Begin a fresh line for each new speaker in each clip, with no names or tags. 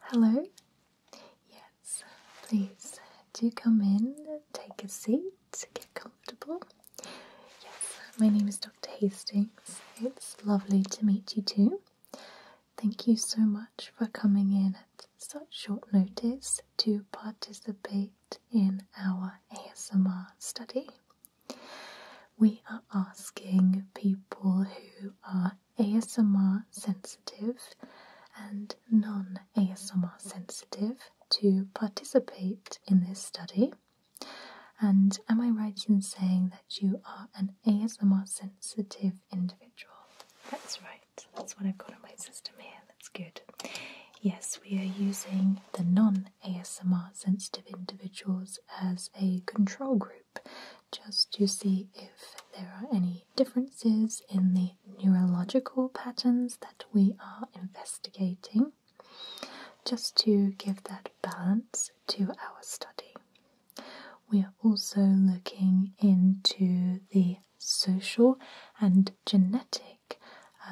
Hello? Yes, please do come in, take a seat, get comfortable. Yes, my name is Dr. Hastings. It's lovely to meet you too. Thank you so much for coming in at such short notice to participate in our ASMR study. We are asking people who are ASMR sensitive and non ASMR sensitive to participate in this study. And am I right in saying that you are an ASMR sensitive individual? That's right, that's what I've got on my system here, that's good. Yes, we are using the non ASMR sensitive individuals as a control group just to see if there are any differences in the neurological patterns that we are investigating, just to give that balance to our study. We are also looking into the social and genetic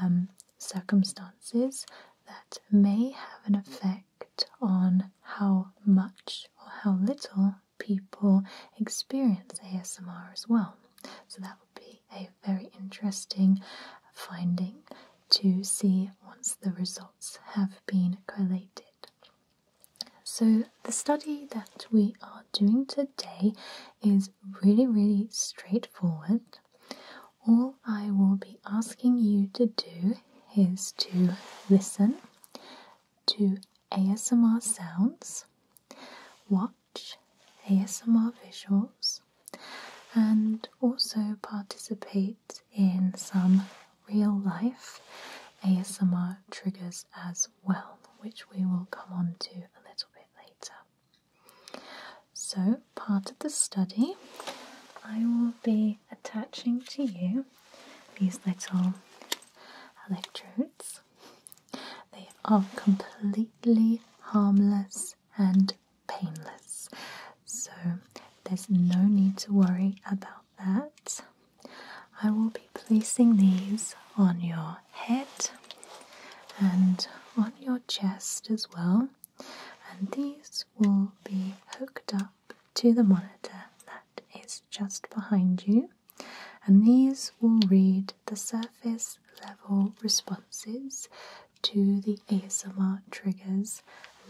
um, circumstances that may have an effect on how much or how little people experience ASMR as well. So that would be a very interesting finding to see once the results have been collated. So, the study that we are doing today is really, really straightforward. All I will be asking you to do is to listen to ASMR sounds, watch ASMR visuals, and also participate in some real life ASMR triggers as well, which we will come on to a little bit later. So, part of the study, I will be attaching to you these little electrodes. They are completely harmless and painless, so there's no need to worry about that. I will be placing these on your head and on your chest as well, and these will be hooked up to the monitor that is just behind you, and these will read the surface level responses to the ASMR triggers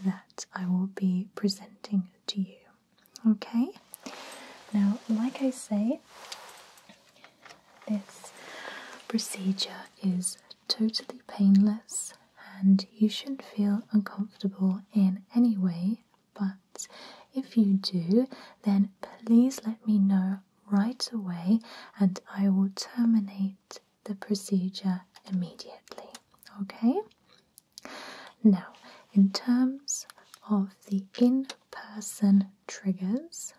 that I will be presenting to you. Okay, now, like I say, this procedure is totally painless and you shouldn't feel uncomfortable in any way. But if you do, then please let me know right away and I will terminate the procedure immediately. Okay? Now, in terms of the in person triggers,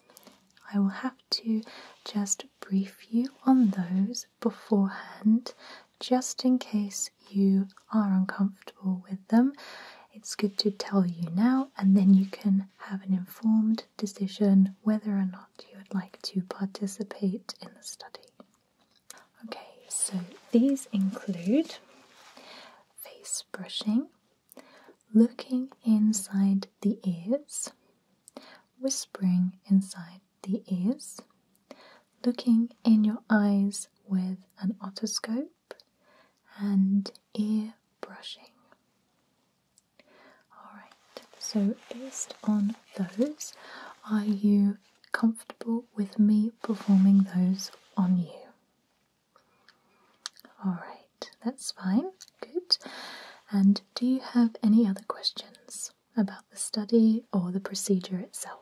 I will have to just brief you on those beforehand just in case you are uncomfortable with them. It's good to tell you now, and then you can have an informed decision whether or not you would like to participate in the study. Okay, so these include face brushing, looking inside the ears, whispering inside the ears, looking in your eyes with an otoscope, and ear brushing. Alright, so based on those, are you comfortable with me performing those on you? Alright, that's fine. Good. And do you have any other questions? about the study or the procedure itself.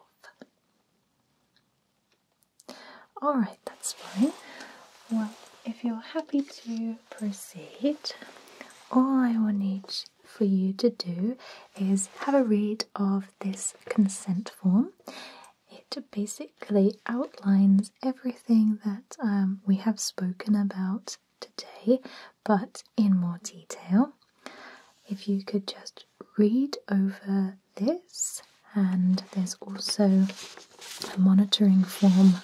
Alright, that's fine. Well, if you're happy to proceed, all I want each for you to do is have a read of this consent form. It basically outlines everything that um, we have spoken about today, but in more detail. If you could just read over this, and there's also a monitoring form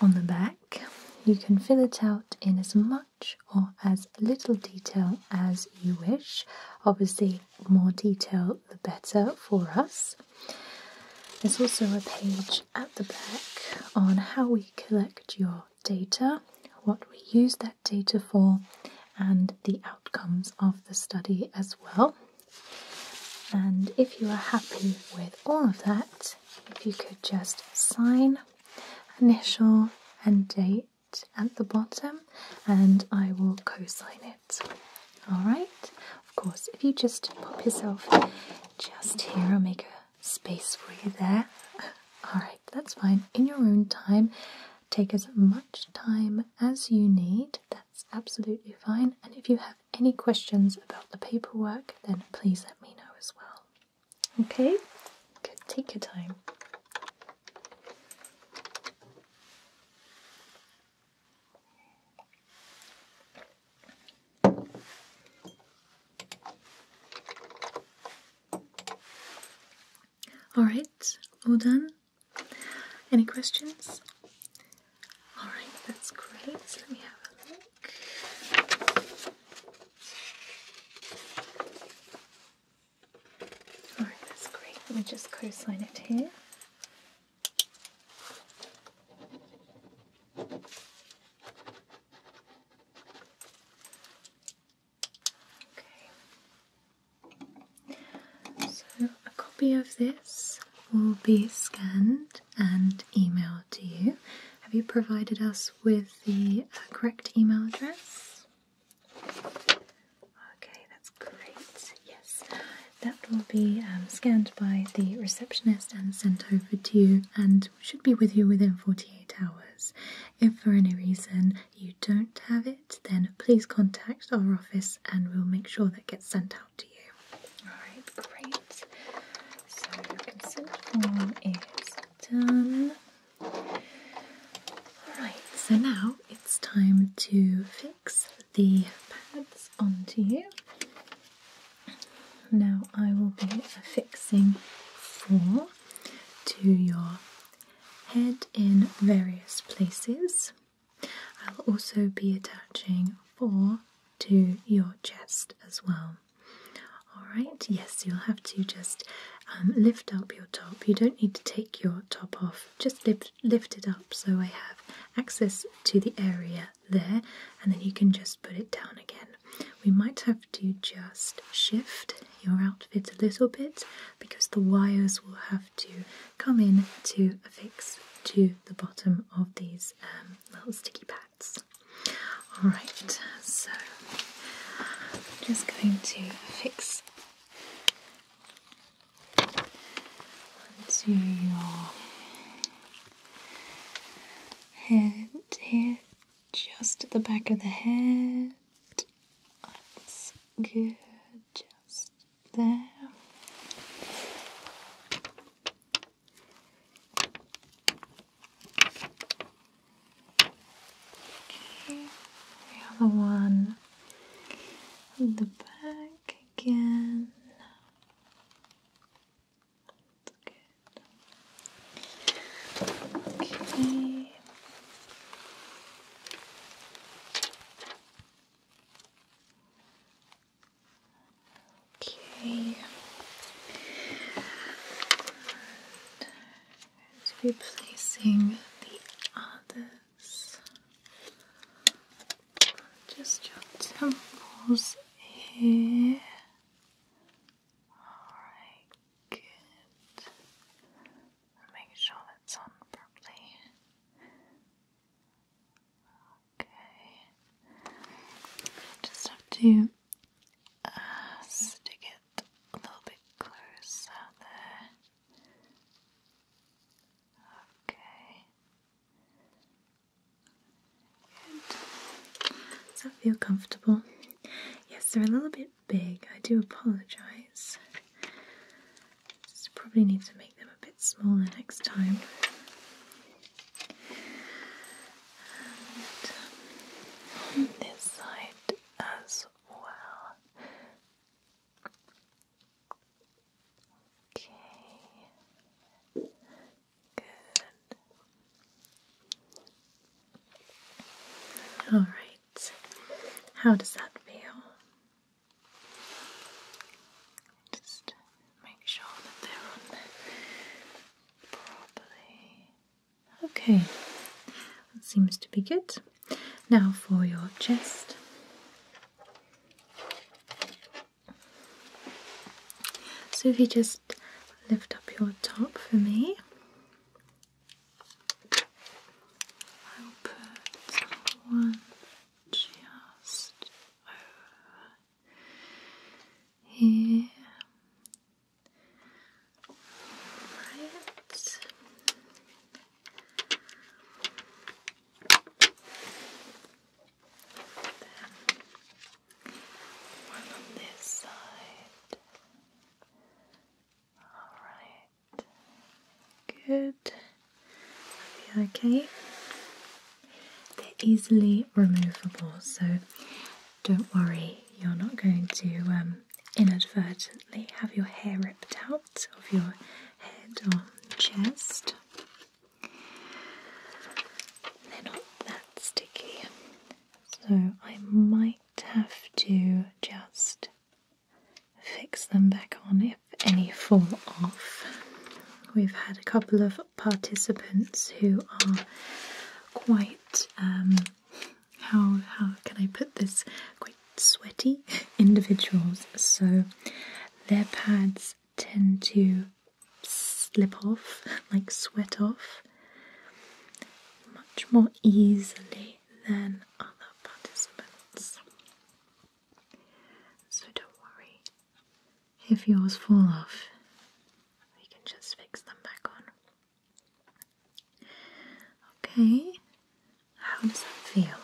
on the back. You can fill it out in as much or as little detail as you wish. Obviously, more detail the better for us. There's also a page at the back on how we collect your data, what we use that data for and the outcomes of the study as well. And if you are happy with all of that, if you could just sign, initial, and date at the bottom, and I will co sign it. Alright, of course, if you just pop yourself just here, I'll make a space for you there. Alright that's fine. In your own time, take as much time as you need. That's absolutely fine. And if you have any questions about the paperwork, then please let me know as well. Okay? take your time. Alright, all done? Any questions? Alright, that's great. Let me have a look. Alright, that's great. Let me just co sign it here. Okay. So a copy of this will be scanned and emailed to you. Have you provided us with the uh, correct email address? Okay, that's great. Yes, that will be um, scanned by the receptionist and sent over to you, and should be with you within 48 hours. If for any reason you don't have it, then please contact our office and we'll make sure that gets sent out to you. Alright, great. So your consent form is done. Alright, so now it's time to fix the pads onto you. Now I will be affixing four to your head in various places. I'll also be attaching four to your chest as well. Alright, yes, you'll have to just um, lift up your top. You don't need to take your top off, just lift, lift it up so I have access to the area there, and then you can just put it down again. We might have to just shift your outfit a little bit because the wires will have to come in to affix to the bottom of these um, little sticky pads. Alright, so I'm just going to fix onto your head here, just at the back of the head. That's good. Just there. Okay, the other one on the back again. That's Okay. Okay. let be placing the others. Just your temples here. All right. Good. Make sure that's on properly. Okay. Just have to uh, stick it a little bit closer Okay. Good. feel comfortable? Yes, they're a little bit big. I do apologise. Just probably need to make them a bit smaller next time. And um, on this side as well. Okay. Good. All right. How does that feel? Just make sure that they're on properly. Okay, that seems to be good. Now for your chest. So if you just lift up your top for me. I'll put one just over here. Right. one on this side. Alright. Good. Are okay? They're easily removable, so don't worry, you're not going to um, inadvertently have your hair ripped out of your head or chest. They're not that sticky, so I might have to just fix them back on if any fall off. We've had a couple of participants who are quite, um, how, how can I put this, quite sweaty individuals. So their pads tend to slip off, like sweat off much more easily than other participants. So don't worry if yours fall off, we can just fix them back on. Okay, how does that feel?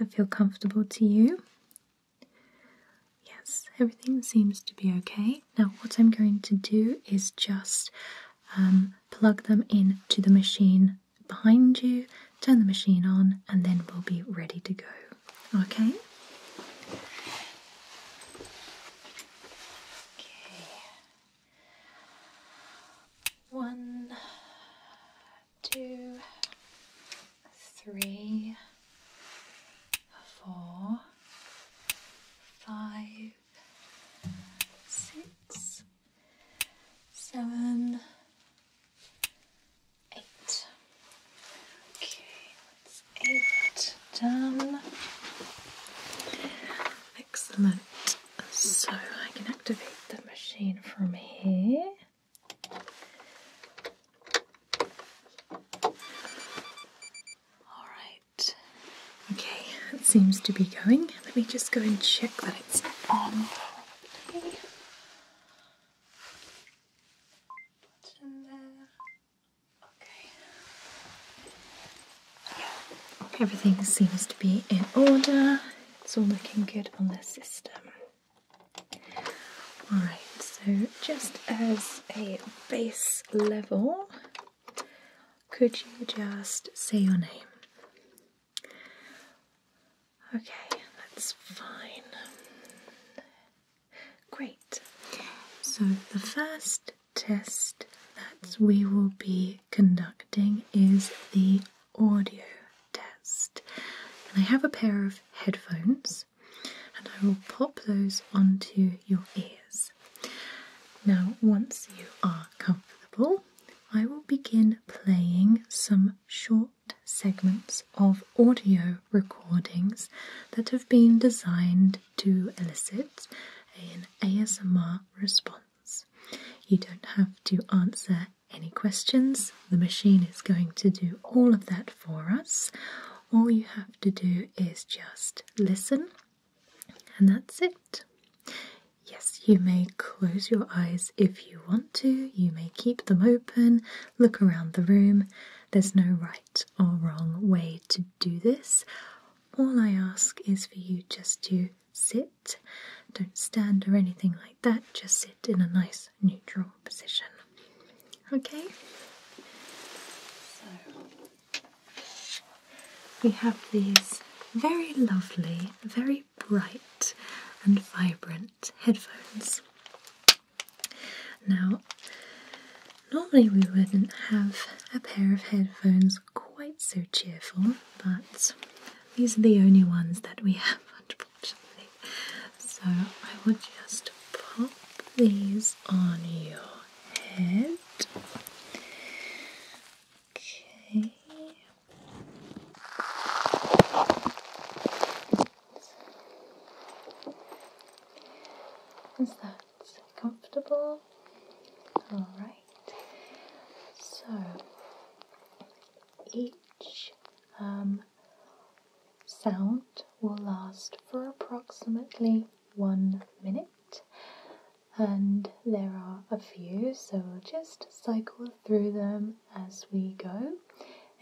I feel comfortable to you? Yes, everything seems to be okay. Now, what I'm going to do is just um, plug them in to the machine behind you, turn the machine on, and then we'll be ready to go. Okay? Okay. One, two, three, four, five, six, seven, eight. Okay, eight done. Excellent. So I can activate the machine from here. All right, Okay, it seems to be going. Let me just go and check that it's on Okay. Yeah, everything seems to be in order. It's all looking good on the system. Alright, so just as a base level, could you just say your name? Okay, that's fine. Great. So, the first test that we will be conducting is the audio test. And I have a pair of headphones, and I will pop those onto your ears. Now, once you are comfortable, I will begin playing some short segments of audio recordings that have been designed to elicit an ASMR response. You don't have to answer any questions, the machine is going to do all of that for us. All you have to do is just listen and that's it. Yes, you may close your eyes if you want to, you may keep them open, look around the room. There's no right or wrong way to do this. All I ask is for you just to sit. Don't stand or anything like that, just sit in a nice neutral position. Okay? We have these very lovely, very bright and vibrant headphones. Now, normally we wouldn't have a pair of headphones quite so cheerful, but these are the only ones that we have, unfortunately. So I will just pop these on your head. Okay. Is that comfortable? Alright. So each um, sound will last for approximately one minute and there are a few so we'll just cycle through them as we go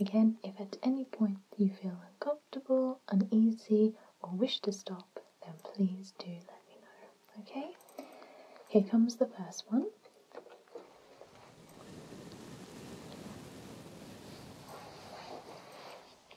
again if at any point you feel uncomfortable uneasy or wish to stop then please do let me know okay here comes the first one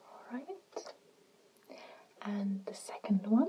All right, and the second one.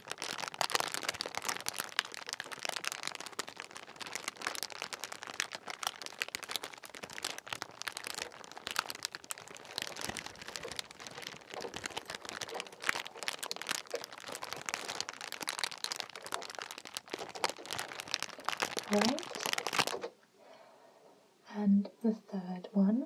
All right, and the third one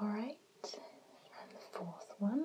All right, and the fourth one.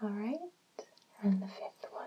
All right, and the fifth one.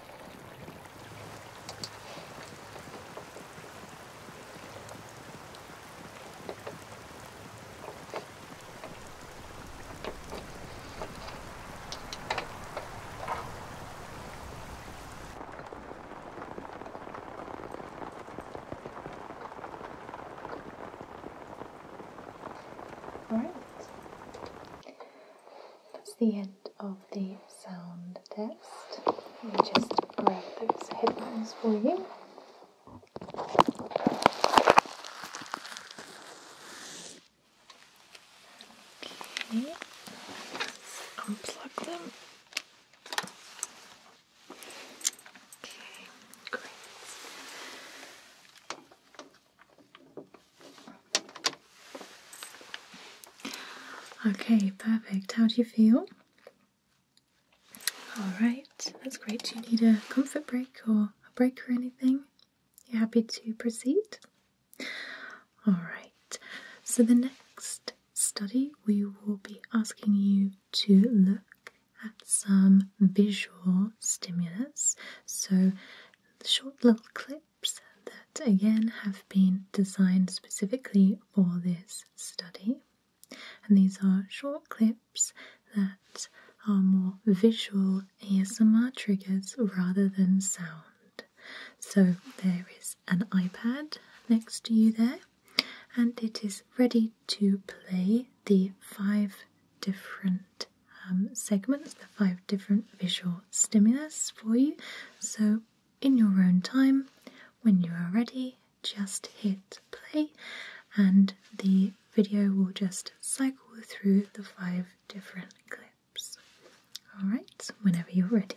All right. That's the end of the sound test. Let just grab those headphones for you. Okay, unplug them. Okay, great. Okay, perfect. How do you feel? Alright, that's great. Do you need a comfort break or a break or anything? You happy to proceed? Alright, so the next study we will be asking you to look at some visual stimulus. So, short little clip that again have been designed specifically for this study. And these are short clips that are more visual ASMR triggers rather than sound. So there is an iPad next to you there, and it is ready to play the five different um, segments, the five different visual stimulus for you. So in your own time. When you are ready, just hit play and the video will just cycle through the five different clips. Alright, whenever you're ready.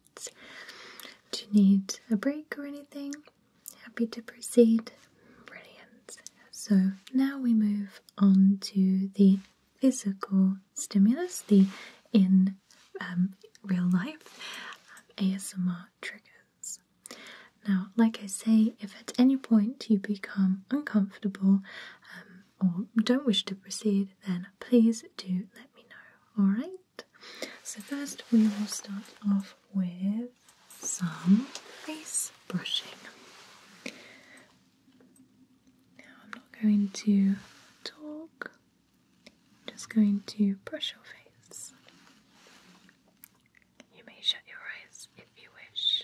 Do you need a break or anything? Happy to proceed? Brilliant. So now we move on to the physical stimulus, the in um, real life um, ASMR triggers. Now, like I say, if at any point you become uncomfortable um, or don't wish to proceed, then please do let me know. Alright, so first we will start off with some face brushing. Now, I'm not going to talk, just going to brush your face. You may shut your eyes if you wish.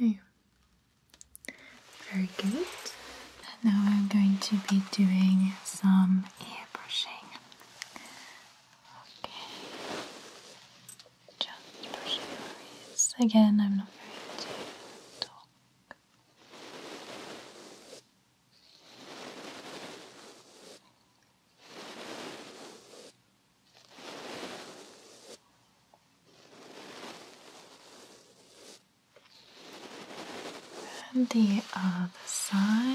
Okay, very good. Now I'm going to be doing some ear brushing. Okay. Just brush your Again, I'm not going to talk. And the other side.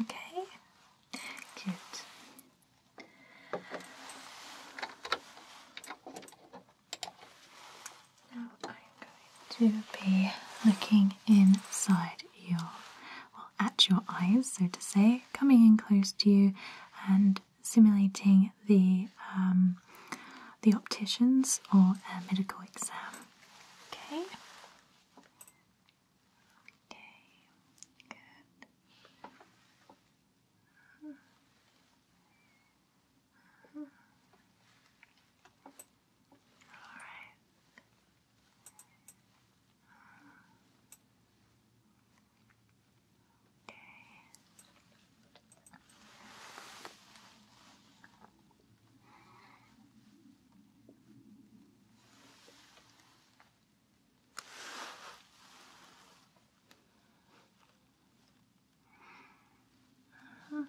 Okay, good. Now I'm going to be looking inside your, well, at your eyes, so to say, coming in close to you and simulating the um, the opticians or a medical exam. Okay. Okay. Good. All right. Okay. Uh -huh. Okay.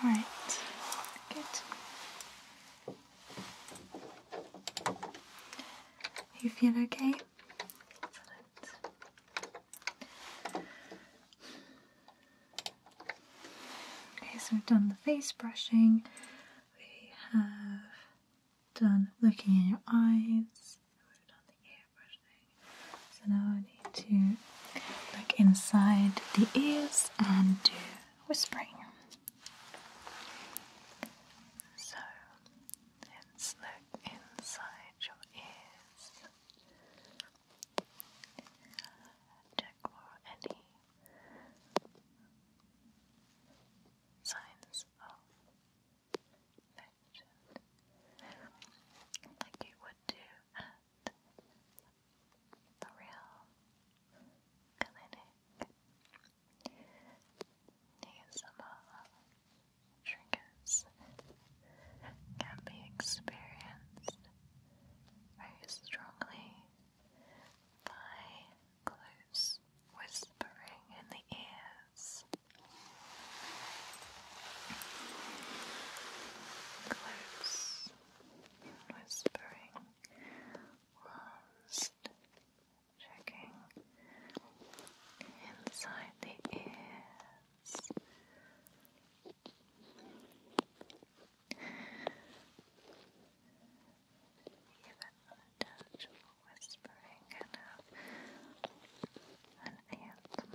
All right, good. You feel okay? Okay, so we've done the face brushing, we have done looking in your eyes, So now I need to look inside the ears and do whispering. So and look inside your ears. Check for any signs of infection, like you would do at a real clinic. ASMR triggers can be experienced very strongly by close whispering in the ears. Close whispering whilst checking inside the ears. Even unintelligible whispering can have an anthem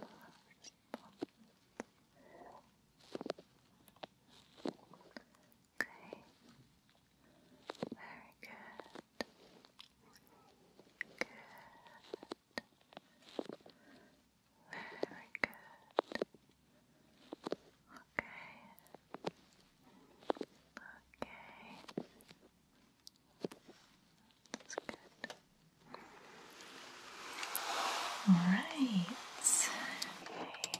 Okay, very good. Good. Very good. Okay. Okay. That's good. All right. Okay.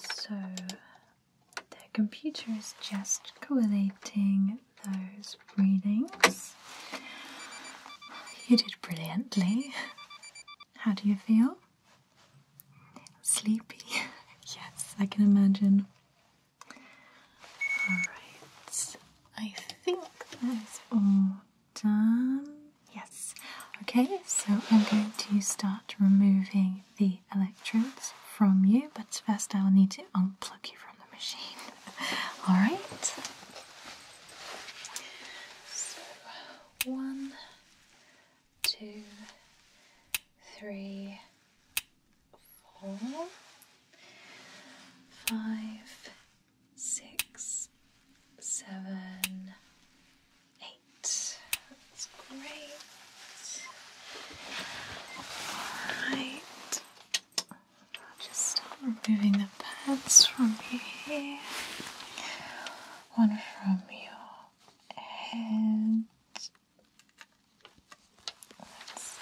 So the computer is just correlating those readings. You did brilliantly. How do you feel? Sleepy? yes, I can imagine. Alright, I think that's all done. Yes. Okay, so I'm going to start removing the electrodes from you, but first I'll need to unplug you from the machine. All right. So one, two, three, four, five, six, seven, eight. That's great. All right. Just removing the pads from your hair, one from your head.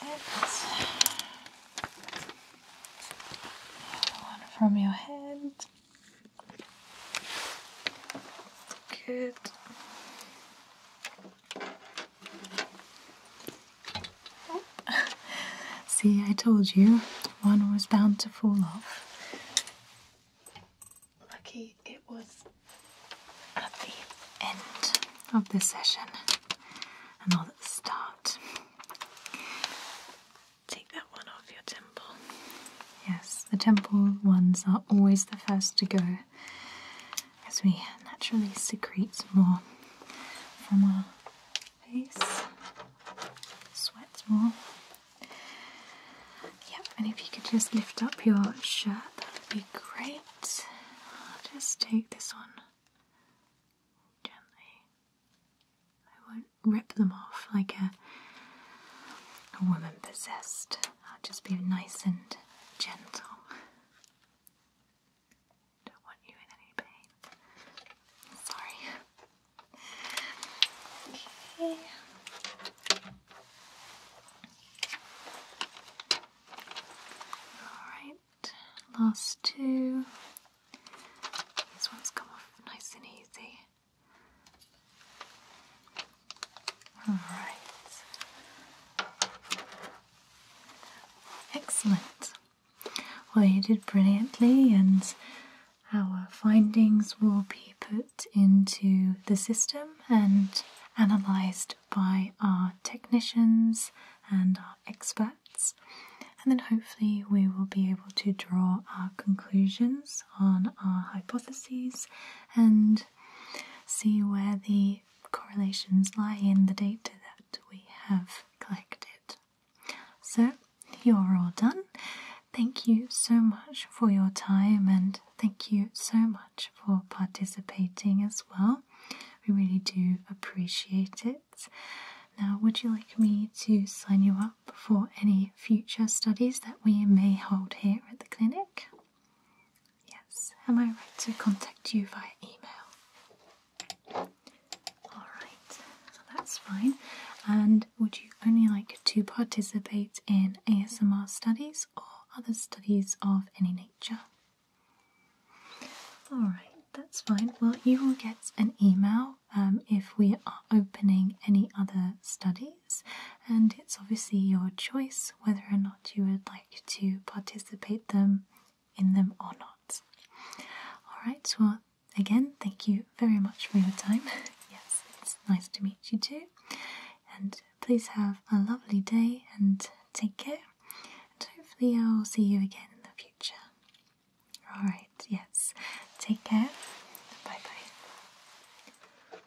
That's it. One from your head. Good. See, I told you, one was bound to fall off. Lucky it was at the end of the session and not at the start. Take that one off your temple. Yes, the temple ones are always the first to go as we naturally secrete more from our face, sweats more. Yep, and if you could just lift up your shirt, that would be great. just take this one gently. I won't rip them off like a a woman possessed. I'll just be nice and gentle. Don't want you in any pain. Sorry. Okay. Alright, last two. These ones come off nice and easy. Alright. Excellent. Well, you did brilliantly, and our findings will be put into the system and analysed by our technicians and our experts. And then hopefully, we will be able to draw our conclusions on our hypotheses and see where the correlations lie in the data that we have collected. So, you're all done. Thank you so much for your time and thank you so much for participating as well. We really do appreciate it. Now, would you like me to sign you up for any future studies that we may hold here at the clinic? Yes, am I right to contact you via email? Alright, that's fine. And would you only like to participate in ASMR studies or other studies of any nature? Alright, that's fine. Well, you will get an email um, if we are opening any other studies, and it's obviously your choice whether or not you would like to participate them in them or not. Alright, well again thank you very much for your time. yes, it's nice to meet you too. And please have a lovely day and take care. And hopefully I'll see you again in the future. Alright, yes. Take care. Bye bye.